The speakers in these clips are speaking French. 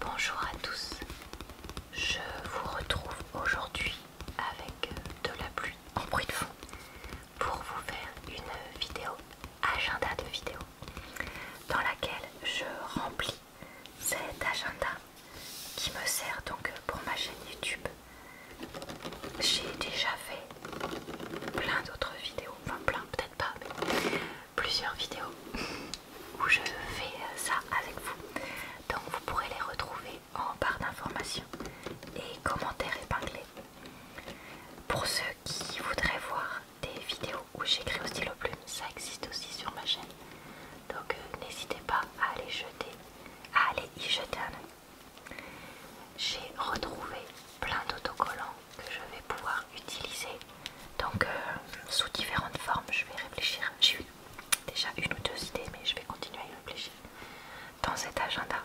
Bonjour à tous, je vous retrouve aujourd'hui avec de la pluie en bruit de fond pour vous faire une vidéo, agenda de vidéo, dans laquelle je remplis cet agenda qui me sert donc pour ma chaîne YouTube. J'ai déjà fait plein d'autres vidéos, enfin plein peut-être pas, mais plusieurs vidéos où je fais ça avec vous. Donc vous pourrez les retrouver en barre d'informations et commentaires épinglés. Pour ceux qui voudraient voir des vidéos où j'écris au stylo plume, ça existe aussi sur ma chaîne. Donc euh, n'hésitez pas à aller jeter, à aller y jeter un œil. J'ai retrouvé plein d'autocollants que je vais pouvoir utiliser donc euh, sous différentes formes je vais réfléchir j'ai eu déjà une ou deux idées mais je vais continuer à y réfléchir dans cet agenda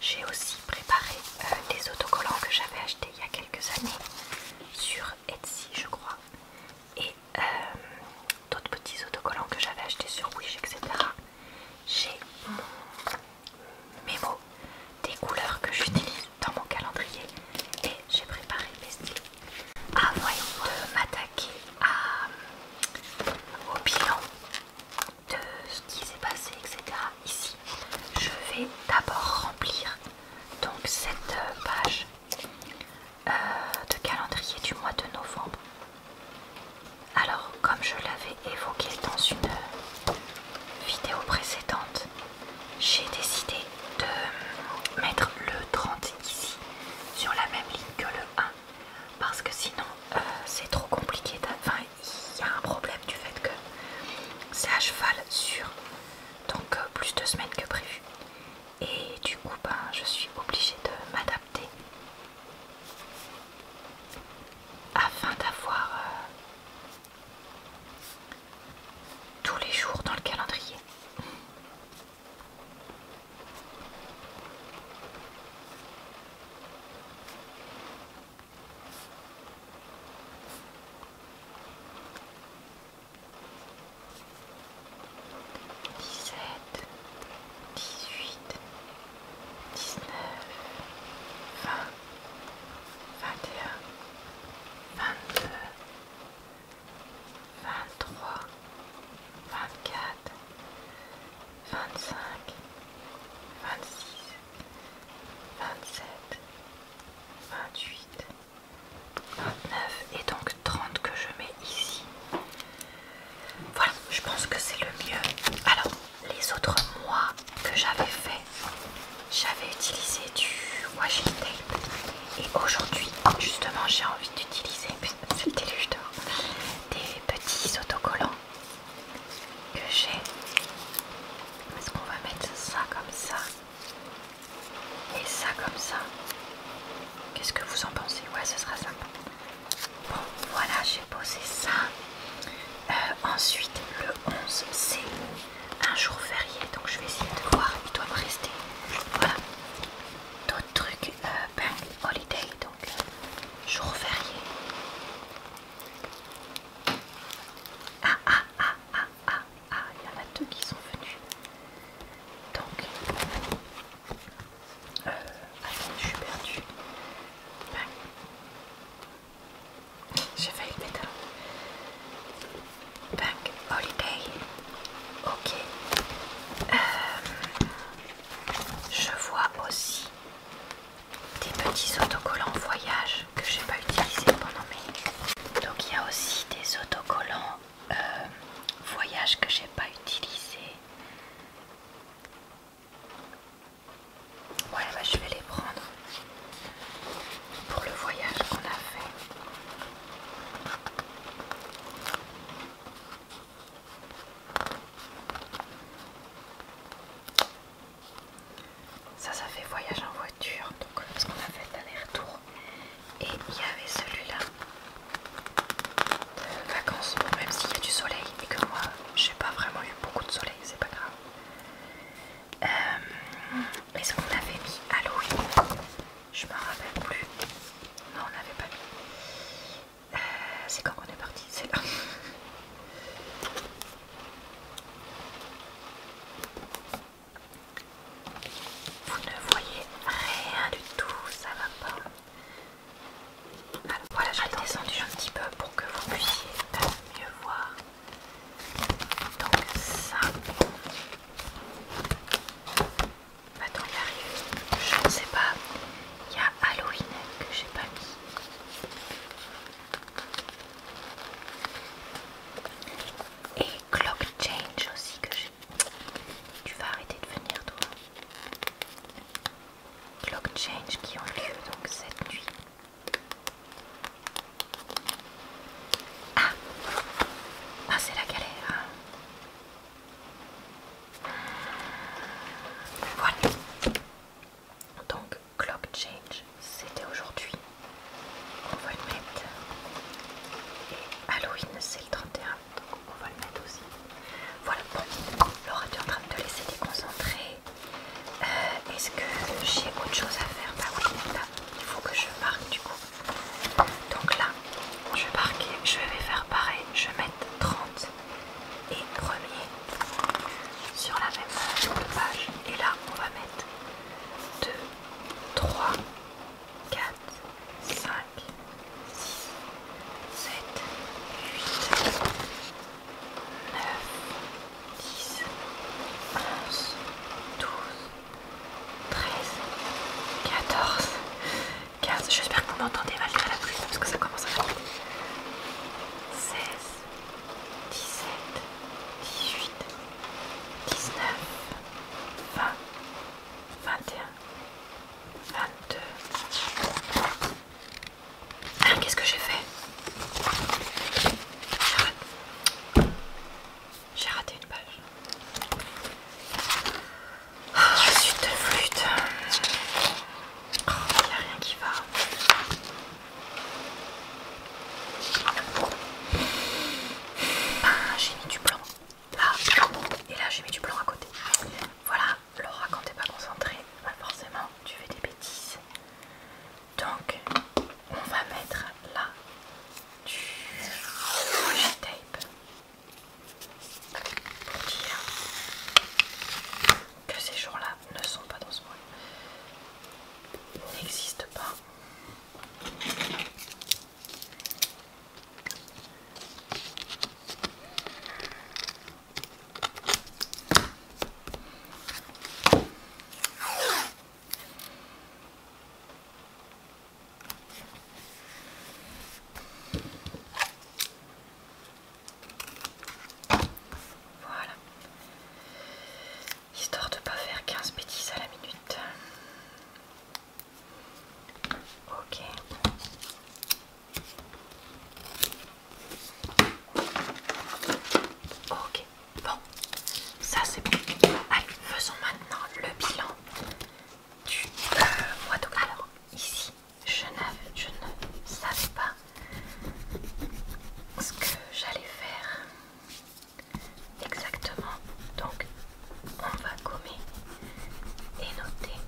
j'ai aussi préparé euh, des autocollants que j'avais achetés il y a quelques années sur Etsy je crois et euh, d'autres petits autocollants que j'avais achetés sur Wish etc j'ai mes mots des couleurs que j'utilise dans mon calendrier et j'ai préparé mes styles avant ah, de m'attaquer euh, au bilan de ce qui s'est passé etc ici je vais d'abord remplir donc cette euh, page euh, de calendrier du mois de novembre alors comme je l'avais évoqué dans une vidéo précédente j'ai décidé de mettre le 30 ici sur la même ligne que le 1 parce que sinon euh, c'est trop compliqué enfin il y a un problème du fait que c'est à cheval sur donc euh, plus de semaines que prévu et du coup ben, je suis obligée de m'adapter afin d'avoir euh, tous les jours dans le calendrier 17 18 19 20 21 22 23, 24, 25, 26, 27, 28, 29 et donc 30 que je mets ici. Voilà, je pense que c'est le mieux. Alors, les autres mois que j'avais fait, j'avais utilisé du washi tape. Et aujourd'hui, justement, j'ai envie d'utiliser, c'est déluge des petits autocollants que j'ai. Est-ce qu'on va mettre ça comme ça et ça comme ça Qu'est-ce que vous en pensez Ouais, ce sera sympa. Bon, voilà, j'ai posé ça. Euh, ensuite, le 11, c'est un jour férié, donc je vais essayer de voir, il doit me rester. Voilà. D'autres trucs, euh, bank holiday, donc jour férié. Ah ah ah ah ah il y en a deux qui sont venus. Donc, euh, je suis perdue. Ben, J'ai failli le pétard. Bank Holiday. Ok. Euh, je vois aussi des petits autocollants voyage que j'ai pas utilisé pendant mes. Donc il y a aussi des autocollants euh, voyage que j'ai pas utilisé. Ouais, bah, je vais les prendre pour le voyage qu'on a fait. Ça, ça fait voyage en voiture, donc euh, ce qu'on a fait aller-retour. Et il y avait celui-là, vacances, même s'il y a du soleil et que moi, j'ai pas vraiment eu beaucoup de soleil, c'est pas grave. mais euh, ce qu'on avait mis à Halloween, je m'en rappelle plus. Non, on n'avait pas vu. Euh, c'est quand on est parti C'est là. Vous ne voyez rien du tout, ça va pas. voilà, j'ai descendu un petit peu pour que vous puissiez mieux voir. Donc ça. Attends, il arrive, Je ne sais pas. Il y a Halloween que j'ai pas mis. Et Clock Change aussi que j'ai. Tu vas arrêter de venir toi. Clock Change qui ont lieu donc cette nuit. Ah, ah c'est la galère. Hein. Voilà. Donc clock change, c'était aujourd'hui. On va le mettre. Et Halloween, c'est le 31, donc on va le mettre aussi. Voilà, bon, Laura, tu es en train de te laisser déconcentrer. Euh, est-ce que j'ai autre chose à faire Bah oui, il faut que je marque du coup. Donc là, je vais je vais faire pareil, je vais mettre 30 et premier sur la même page. Et là, on va mettre 2, 3, 4, 5, 6, 7, 8, 9, 10, 11, 12, 13, 14, 15. J'espère que vous m'entendez malgré la parce que ça commence à 16, 17, 18, 19, 20, 21, 22. Qu'est-ce que j'ai fait j'ai raté une page. Oh, de flûte. Il oh, n'y a rien qui va. Ben, j'ai mis du blanc là et là j'ai mis du blanc à côté. Voilà, Laura, quand t'es pas concentrée, bah, forcément tu fais des bêtises. Donc, on va mettre là du tape que ces jours-là ne sont pas dans ce monde, n'existent pas. Voilà. Histoire de ne pas faire 15 bêtises à la minute. Ok. Ok, bon, ça c'est bon. Allez, faisons maintenant le bilan alors, ici, je ne, je ne savais pas ce que j'allais faire exactement. Donc, on va gommer et noter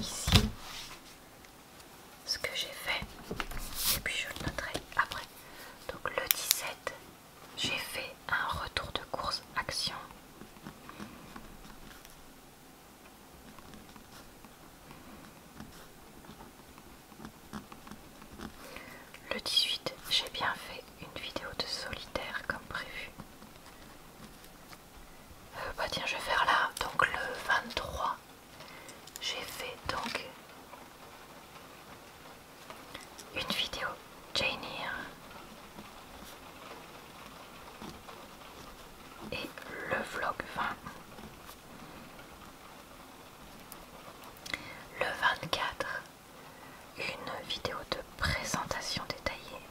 ici ce que j'ai fait et puis je le noterai après. Donc, le 17 j'ai fait un retour de course action. Le 18, j'ai bien fait une vidéo de solitaire comme prévu. Euh, bah tiens, je vais faire là. Donc le 23, j'ai fait donc une vidéo Jainir et le vlog 20. Le 24, une vidéo de présentation détaillée.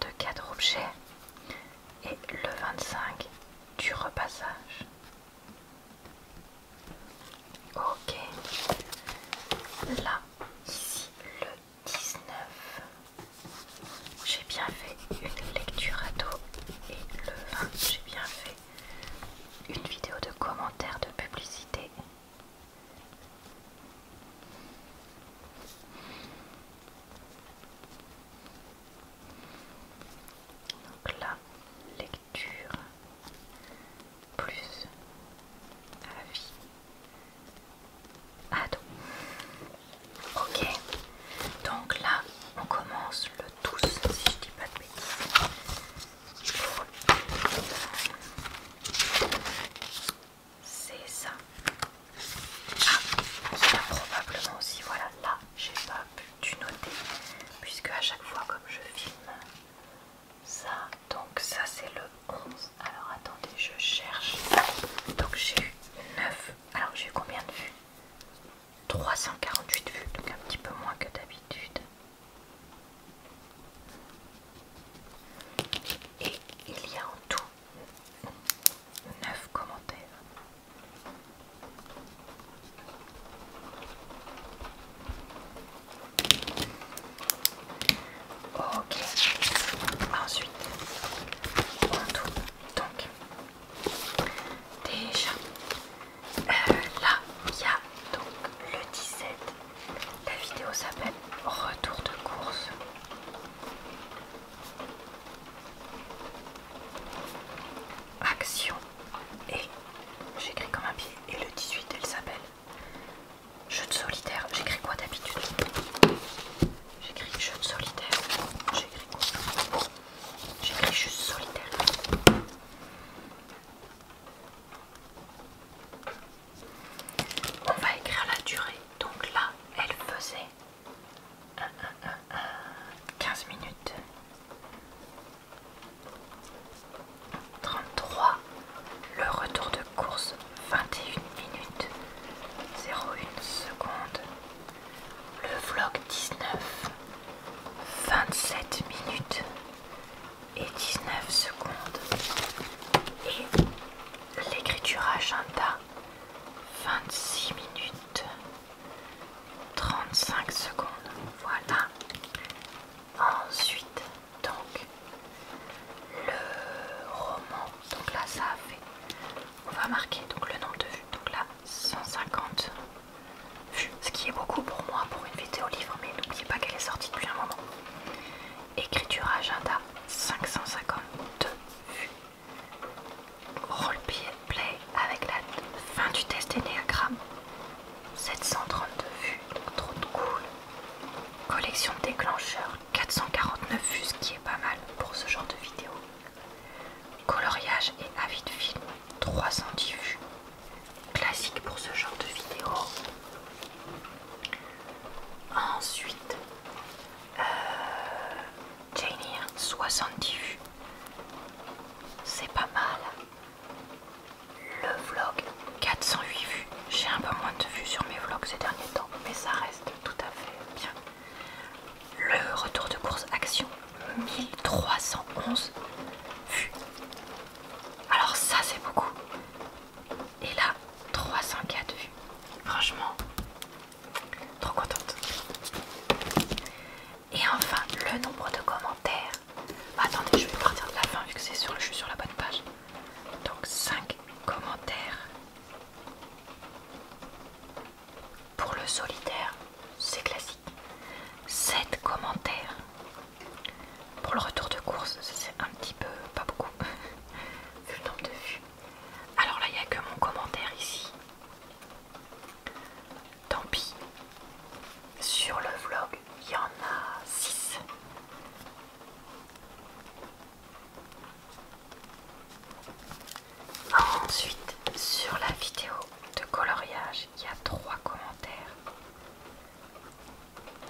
De quatre objets et le 25 du repassage. Ok. Là, ici, le 19. J'ai bien fait une lecture à dos, Et le 20, j'ai bien fait une vidéo de commentaires de publicité. Donc là, lecture plus avis ado. Ah ok, donc là on commence le tout si je dis pas de bêtises. C'est ça. Ah, il probablement aussi, voilà là, j'ai pas pu noter puisque à chaque fois comme je filme ça donc ça c'est le 11 alors attendez je cherche donc j'ai eu 9 alors j'ai eu combien de vues 348 vues donc un petit peu moins que d'habitude et il y a en tout 9 commentaires Ok, ensuite on tourne donc déjà euh, là il y a donc le 17, la vidéo s'appelle Retour de course action et j'écris comme un pied et le 18 elle s'appelle jeu de solitaire j'écris quoi d'habitude j'écris jeu de solitaire j'écris quoi j'écris juste solitaire on va écrire la durée donc là elle faisait 15 minutes 33. Le retour de course 21 minutes 01 secondes, Le vlog 19 27 minutes et 19 secondes. Et l'écriture agenda 26 minutes 35 secondes. Voilà. Ensuite, donc le roman. Donc là, ça a fait. On va marquer donc le nombre de vues. Donc là, 150 vues. Ce qui est beaucoup pour moi pour une vidéo livre, mais n'oubliez pas qu'elle est sortie depuis un moment. Écriture agenda, 552 vues. pied. Play, avec la fin du test Enneagram. 732 vues, trop cool. Collection déclencheur, 449 vues, ce qui est pas mal pour ce genre de vidéo. Coloriage et avis de film, 310 vues. Classique pour ce genre de vidéo. Ensuite, euh, Janie, 70 vues. C'est pas mal. Le vlog 408 vues. J'ai un peu moins de vues sur mes vlogs ces derniers temps, mais ça reste tout à fait bien. Le retour de course action 1311 vues. Alors ça c'est beaucoup. Et là 304 vues. Franchement, trop contente. Et enfin, le nombre de commentaires. Bah, attendez, je vais partir de la fin vu que c'est sur je suis sur la bonne page. Donc 5 commentaires. Pour le solitaire, c'est classique. 7 commentaires. Pour le retour de course, c'est un petit peu, pas beaucoup, vu le nombre de vues. Alors là, il n'y a que mon commentaire ici. Tant pis. Sur le vlog, il y en a 6. Ensuite, sur la vidéo de coloriage, il y a 3 commentaires.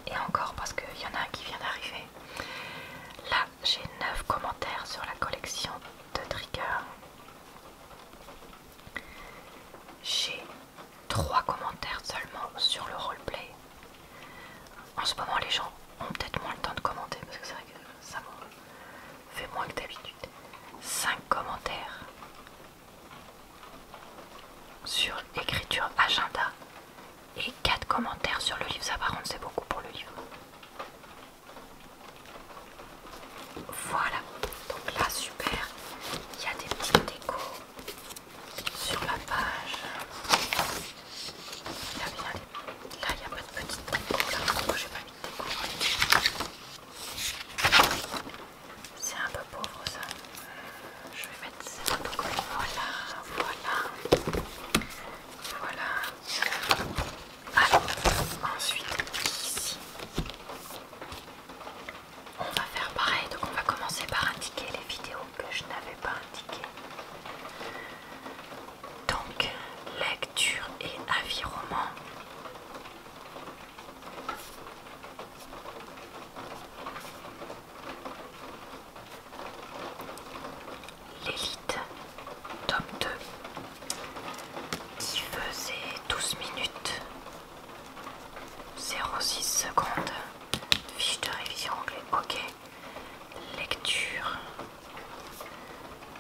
Et encore parce qu'il y en a un qui vient d'arriver. Là, j'ai 9 commentaires sur la collection de Trigger. J'ai trois commentaires seulement sur le roleplay. En ce moment, les gens ont peut-être moins le temps de commenter parce que c'est vrai que ça fait moins que d'habitude. 5 commentaires sur écriture agenda et 4 commentaires sur le livre. Ça, par contre, c'est beaucoup pour le livre. Voilà, donc là super, il y a des petites décos sur la page. Là il n'y a pas de petites décos, j'ai pas mis de déco C'est un peu pauvre ça. Je vais mettre ça. Donc voilà, voilà. Voilà. Alors ensuite ici on va faire pareil, donc on va commencer par indiquer les vidéos que je n'avais pas indiquées. Donc, lecture et roman. L'élite, top 2, qui faisait 12 minutes 06 secondes. Fiche de révision anglais. Ok. Lecture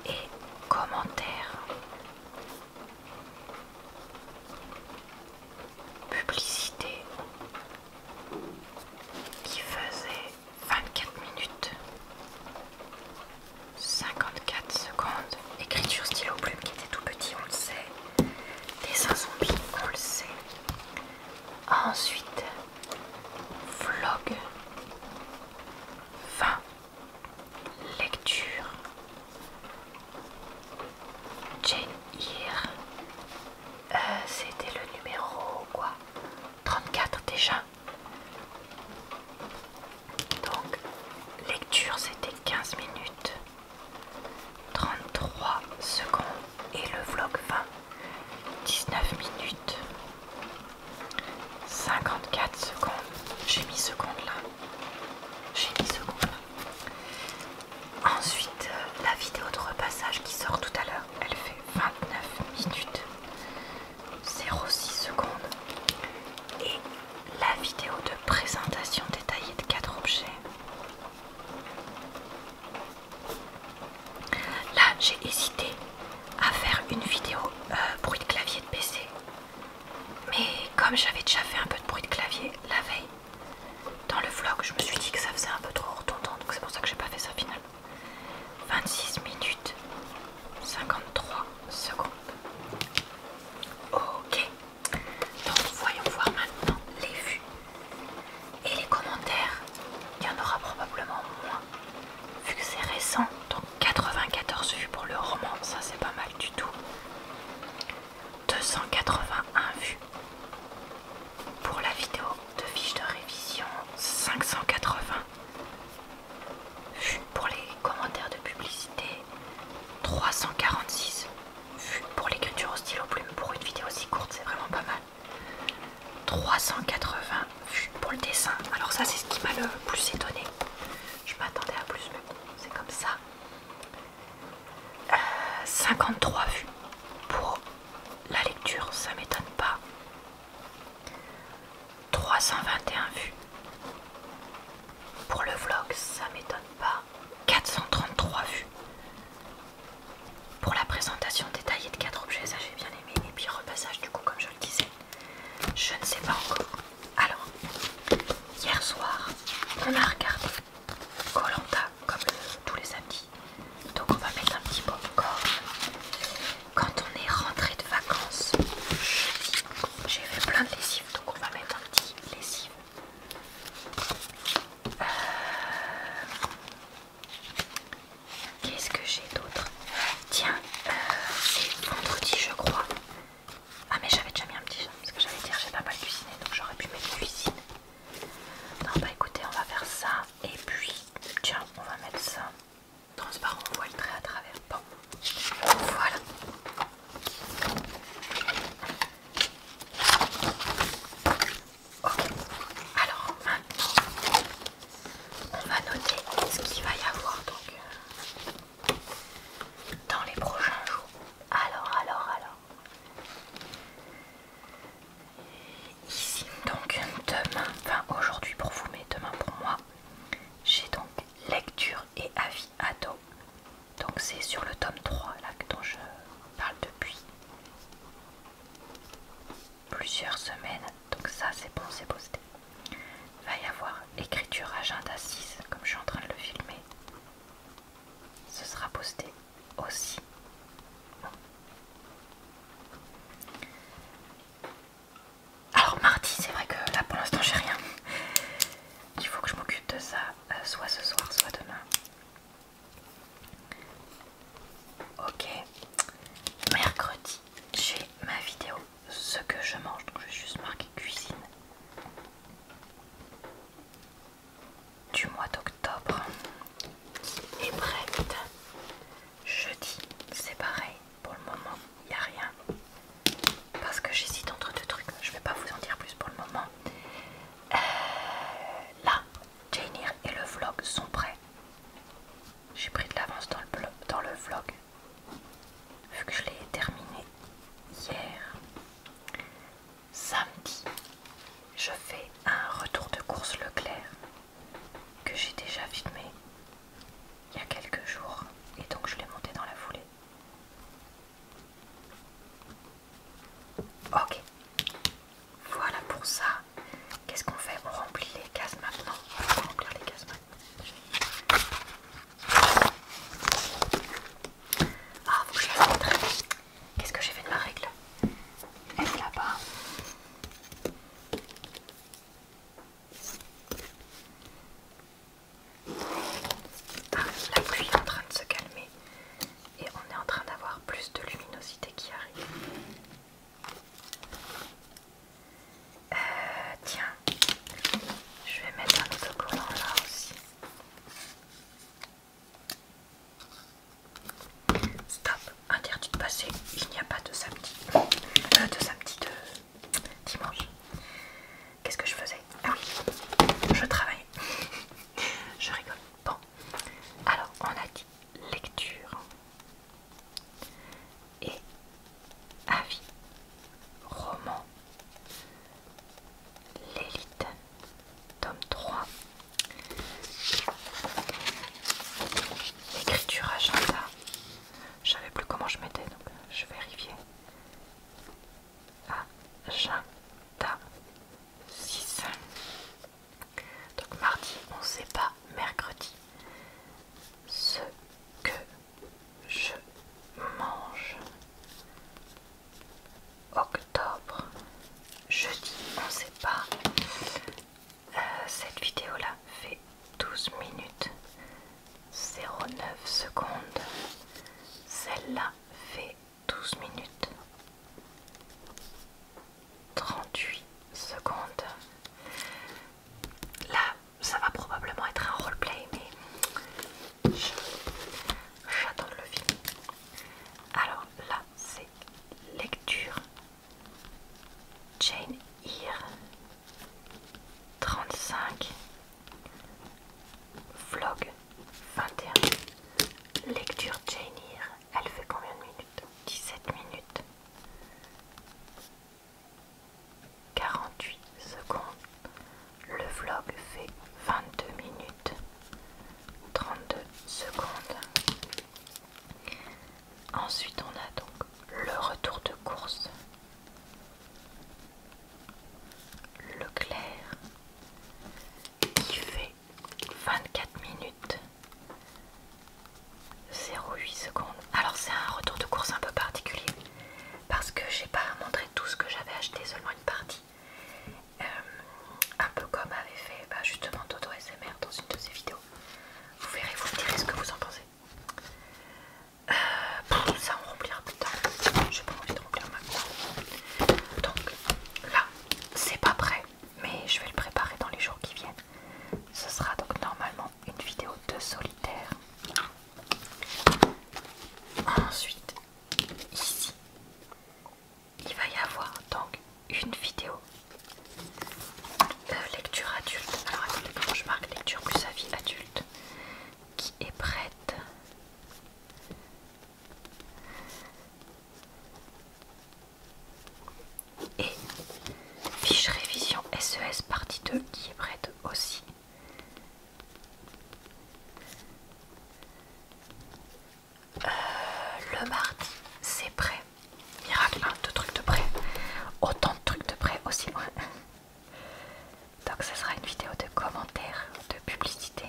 et commentaire. Publicité qui faisait 24 minutes 54 secondes écriture stylo plume qui était tout petit, on le sait. Dessin zombie, on le sait. Ensuite, vlog, fin, lecture, Jane Eyre, euh, c'était le numéro quoi 34 déjà. Donc, lecture c'était 15 minutes. 33 secondes et le vlog 20 19 minutes 54 secondes j'ai mis secondes là j'ai mis secondes ensuite euh, la vidéo de repassage qui sort tout à l'heure elle fait 29 minutes 06 secondes et la vidéo de présentation détaillée de 4 objets Là, j'ai hésité à faire une vidéo euh, bruit de clavier de PC. Mais comme j'avais déjà fait un peu de bruit de clavier la veille, dans le vlog, je me suis dit que ça faisait un peu trop retournant. donc c'est pour ça que j'ai pas fait ça finalement. 26 minutes 53 secondes. Ok. Donc voyons voir maintenant les vues et les commentaires. Il y en aura probablement moins. Vu que c'est récent, donc 94 vues pour le roman, ça c'est pas mal du tout. 281 vues pour la vidéo de fiche de révision, 580 vues pour les commentaires de publicité, 346 pour l'écriture au stylo plume pour une vidéo si courte, c'est vraiment pas mal. 380 vues pour le dessin. Alors ça c'est ce qui m'a le plus étonné. Je m'attendais à plus mais c'est comme ça. 53 euh, vues pour la lecture, ça m'étonne pas. 321 vues pour le vlog, ça m'étonne pas. 433 vues. Pour la présentation détaillée de 4 objets, ça j'ai bien aimé. Et puis repassage du coup, comme je le disais, je ne sais pas encore. Alors, hier soir, on a regardé Colanta comme euh, tous les samedis. Donc on va mettre un petit popcorn. Quand on est rentré de vacances, j'ai fait plein de lessive, donc on va mettre un petit lessive Qu'est-ce que j'ai d'autre Tiens, euh, c'est vendredi je crois. Ah mais j'avais déjà mis un petit jeu, parce que j'allais dire j'ai pas mal cuisiné, donc j'aurais pu mettre cuisine. Non bah écoutez, on va faire ça, et puis tiens, on va mettre ça. Transparent, on voit le trait à travers. Bon, voilà. Alors maintenant, on va noter ce qu'il va y avoir donc, euh, dans les prochains jours. Alors, alors, alors. Ici, donc demain, enfin aujourd'hui pour vous, mais demain pour moi, j'ai donc lecture et avis à dos. Donc c'est sur le tome 3 là dont je parle depuis plusieurs semaines. Donc ça c'est bon, c'est posté. Va y avoir écriture agenda 6 comme je suis en train de le filmer. Ce sera posté aussi. Alors mardi, c'est vrai que là pour l'instant j'ai rien. Il faut que je m'occupe de ça, euh, soit ce soir, soit demain. Ok, mercredi, j'ai ma vidéo ce que je mange, donc je vais juste marquer cuisine du mois d'octobre. Et prête, jeudi, c'est pareil, pour le moment, il n'y a rien. Parce que j'hésite entre deux trucs, je ne vais pas vous en dire plus pour le moment. Euh, là, Jainir et le vlog sont prêts. J'ai pris de l'avance dans le vlog, vu que je l'ai terminé hier. Samedi, je fais un retour de course Leclerc que j'ai déjà filmé il y a quelques jours et donc je l'ai monté dans la foulée. Ok, voilà pour ça. Qu'est-ce qu'on fait On remplit les cases maintenant. On va remplir les cases maintenant. Ah, vous je la montre. Qu'est-ce que j'ai fait de ma règle Elle est là-bas. Ah, la pluie est en train de se calmer et on est en train d'avoir plus de luminosité qui arrive. Euh, tiens, je vais mettre un autocollant là aussi. Stop, interdit de passer, il n'y a pas de samedi. Euh, de samedi, de dimanche. Qu'est-ce que je faisais Ah je travaillais. je rigole. Bon, alors, on a dit lecture et avis, roman, l'élite, tome 3, écriture agenda. Je savais plus comment je mettais donc je vérifiais agenda 6. Donc mardi, on sait pas mercredi ce que je mange. Octobre, jeudi, on sait pas. Euh, cette vidéo là fait 12 minutes 09 secondes. Celle-là fait 12 minutes 38 secondes. Là, ça va probablement être un roleplay, mais j'attends le film. Alors là, c'est lecture. Jane Eyre 35 vlog 21. Lecture Jane Eyre. Elle fait combien de minutes 17 minutes. 48 secondes. Le vlog fait 22 minutes. 32 secondes. Ensuite, on a donc le retour de course. Leclerc qui fait 24 minutes 0,8 secondes. Alors c'est un retour de course un peu particulier parce que j'ai pas montré tout ce que j'avais acheté, seulement une partie. Euh, un peu comme avait fait bah, justement Toto SMR dans une de ses vidéos. Vous verrez, vous me direz ce que vous en pensez. Euh, ça on remplira plus tard. J'ai pas envie de remplir ma cour Donc là, c'est pas prêt mais je vais le préparer dans les jours qui viennent. Ce sera donc normalement une vidéo de solitaire. Ensuite, ici, il va y avoir donc une vidéo euh, lecture adulte. Alors comment je marque lecture plus vie adulte qui est prête et fiche révision SES e partie 2 qui est prête aussi. Euh, le mardi, c'est prêt. Miracle, hein, deux trucs de prêt. Autant de trucs de prêt aussi. loin. Donc, ça sera une vidéo de commentaires, de publicité.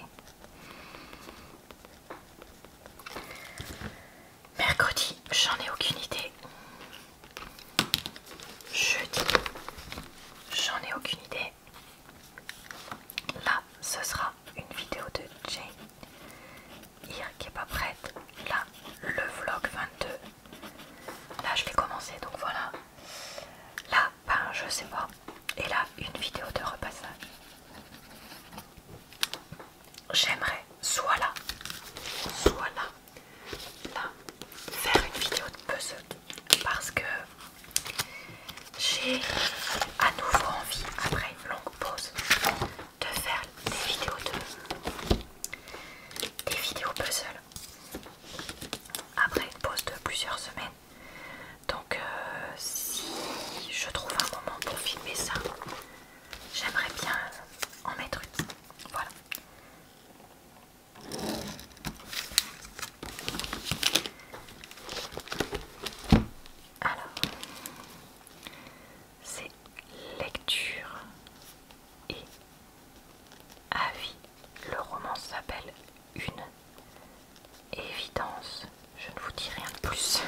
Mercredi, j'en ai aucune idée. Jeudi, j'en ai aucune idée. Là, ce sera une vidéo de Jane hier qui n'est pas prête. Là, le vlog 22. Là, je l'ai commencé, donc voilà. Là, ben, je sais pas. Et là, une vidéo de repassage j'aimerais soit là, soit là, là, faire une vidéo de puzzle parce que j'ai à nouveau envie, après une longue pause, de faire des vidéos de des vidéos puzzle. Après une pause de plusieurs semaines, donc euh, si je trouve un moment pour filmer ça, j'aimerais bien en mettre une. Voilà. Alors, c'est lecture et avis. Le roman s'appelle Une évidence, je ne vous dis rien de plus,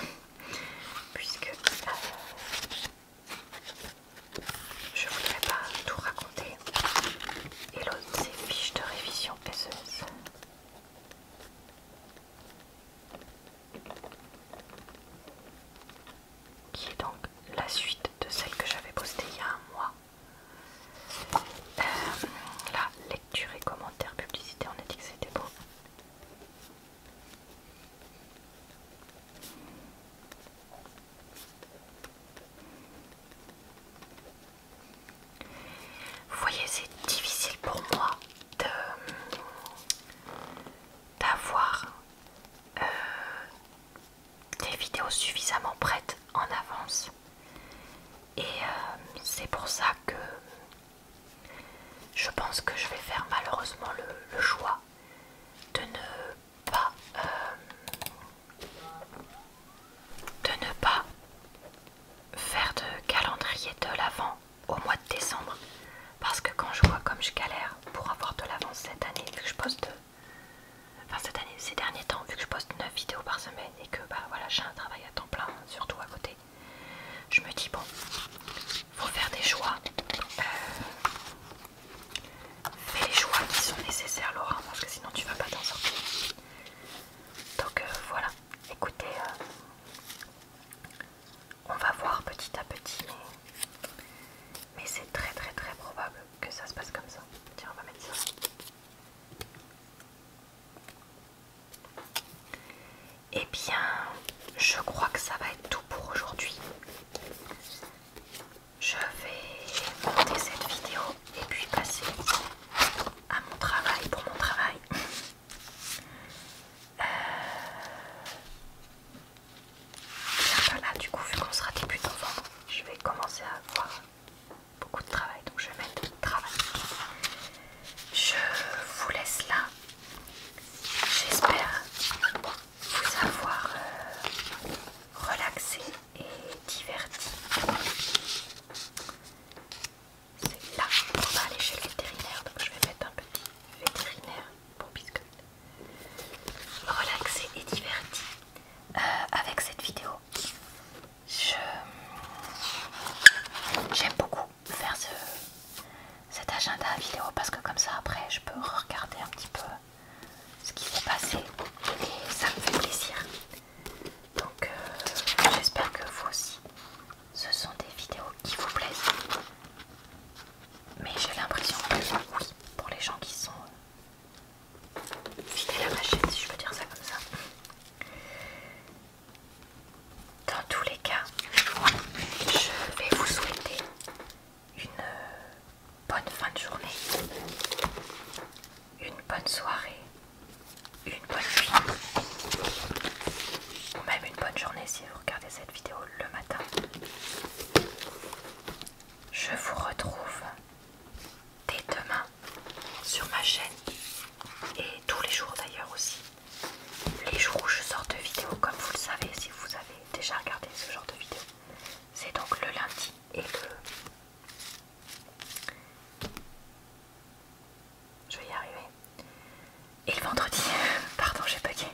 puisque euh, je ne voudrais pas tout raconter. Et l'autre, c'est fiche de révision SES, Qui est donc la suite de celle que j'avais postée il y a un mois. Euh, la lecture et commentaires, publicité, on a dit que c'était beau. Vous voyez, c'est difficile pour moi d'avoir euh, des vidéos suffisamment prêtes en avance et euh, c'est pour ça que je pense que je vais faire malheureusement le, choix de ne pas euh, de ne pas faire de calendrier de l'avant au mois de décembre parce que quand je vois comme je galère pour avoir de l'avance cette année vu que je poste enfin cette année ces derniers temps vu que je poste 9 vidéos par semaine et que bah, voilà j'ai un travail à temps plein surtout à côté je me dis, bon, faut faire des choix. Euh, fais les choix qui sont nécessaires, Laura, parce que sinon tu vas pas t'en sortir. Donc euh, voilà, écoutez, euh, on va voir petit à petit, mais, mais c'est très très très probable que ça se passe comme ça. Tiens, on va mettre ça. Eh bien, je crois que ça va être tout pour aujourd'hui. Je vais monter cette vidéo et puis passer à mon travail pour mon travail. Euh, là, du coup, vu qu'on sera début novembre, je vais commencer à avoir beaucoup de travail. Donc, je vais mettre travail. Je vous laisse là. J'espère vous avoir euh, relaxé et diverti. C'est là qu'on va aller chez le vétérinaire, donc je vais mettre un petit vétérinaire pour biscuit. Relaxé et diverti. Euh, avec cette vidéo, j'aime beaucoup faire ce, cet agenda vidéo parce que comme ça après je peux regarder un petit peu ce qui s'est passé et ça me fait plaisir. Donc euh, j'espère que vous aussi ce sont des vidéos qui vous plaisent. Mais j'ai l'impression que oui, pour les gens qui sont euh, fidèles à ma chaîne, si je peux dire ça comme ça, dans tous les cas, je vais vous souhaiter une bonne fin de journée, une bonne soirée, une bonne nuit, ou même une bonne journée si vous regardez cette vidéo le matin. Je vous retrouve dès demain sur ma chaîne et tous les jours d'ailleurs aussi les jours où je sorte de vidéos, comme vous le savez, si vous avez déjà regardé ce genre de vidéo, c'est donc le lundi et le... Je vais y arriver. Et le vendredi, pardon, j'ai bugué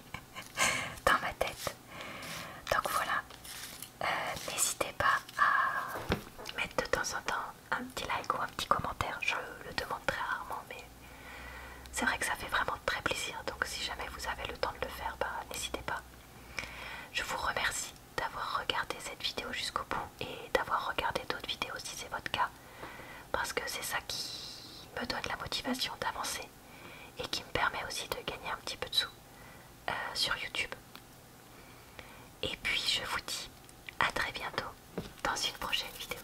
dans ma tête. Donc voilà, euh, n'hésitez pas à mettre de temps en temps un petit like ou un petit commentaire. Je le demande très rarement, mais c'est vrai que ça fait vraiment très plaisir. Donc si jamais vous avez le temps de le faire, bah, n'hésitez pas. Je vous remercie d'avoir regardé cette vidéo jusqu'au bout et d'avoir regardé d'autres vidéos si c'est votre cas. Parce que c'est ça qui me donne la motivation d'avancer et qui me permet aussi de gagner un petit peu de sous euh, sur YouTube. Et puis je vous dis à très bientôt dans une prochaine vidéo.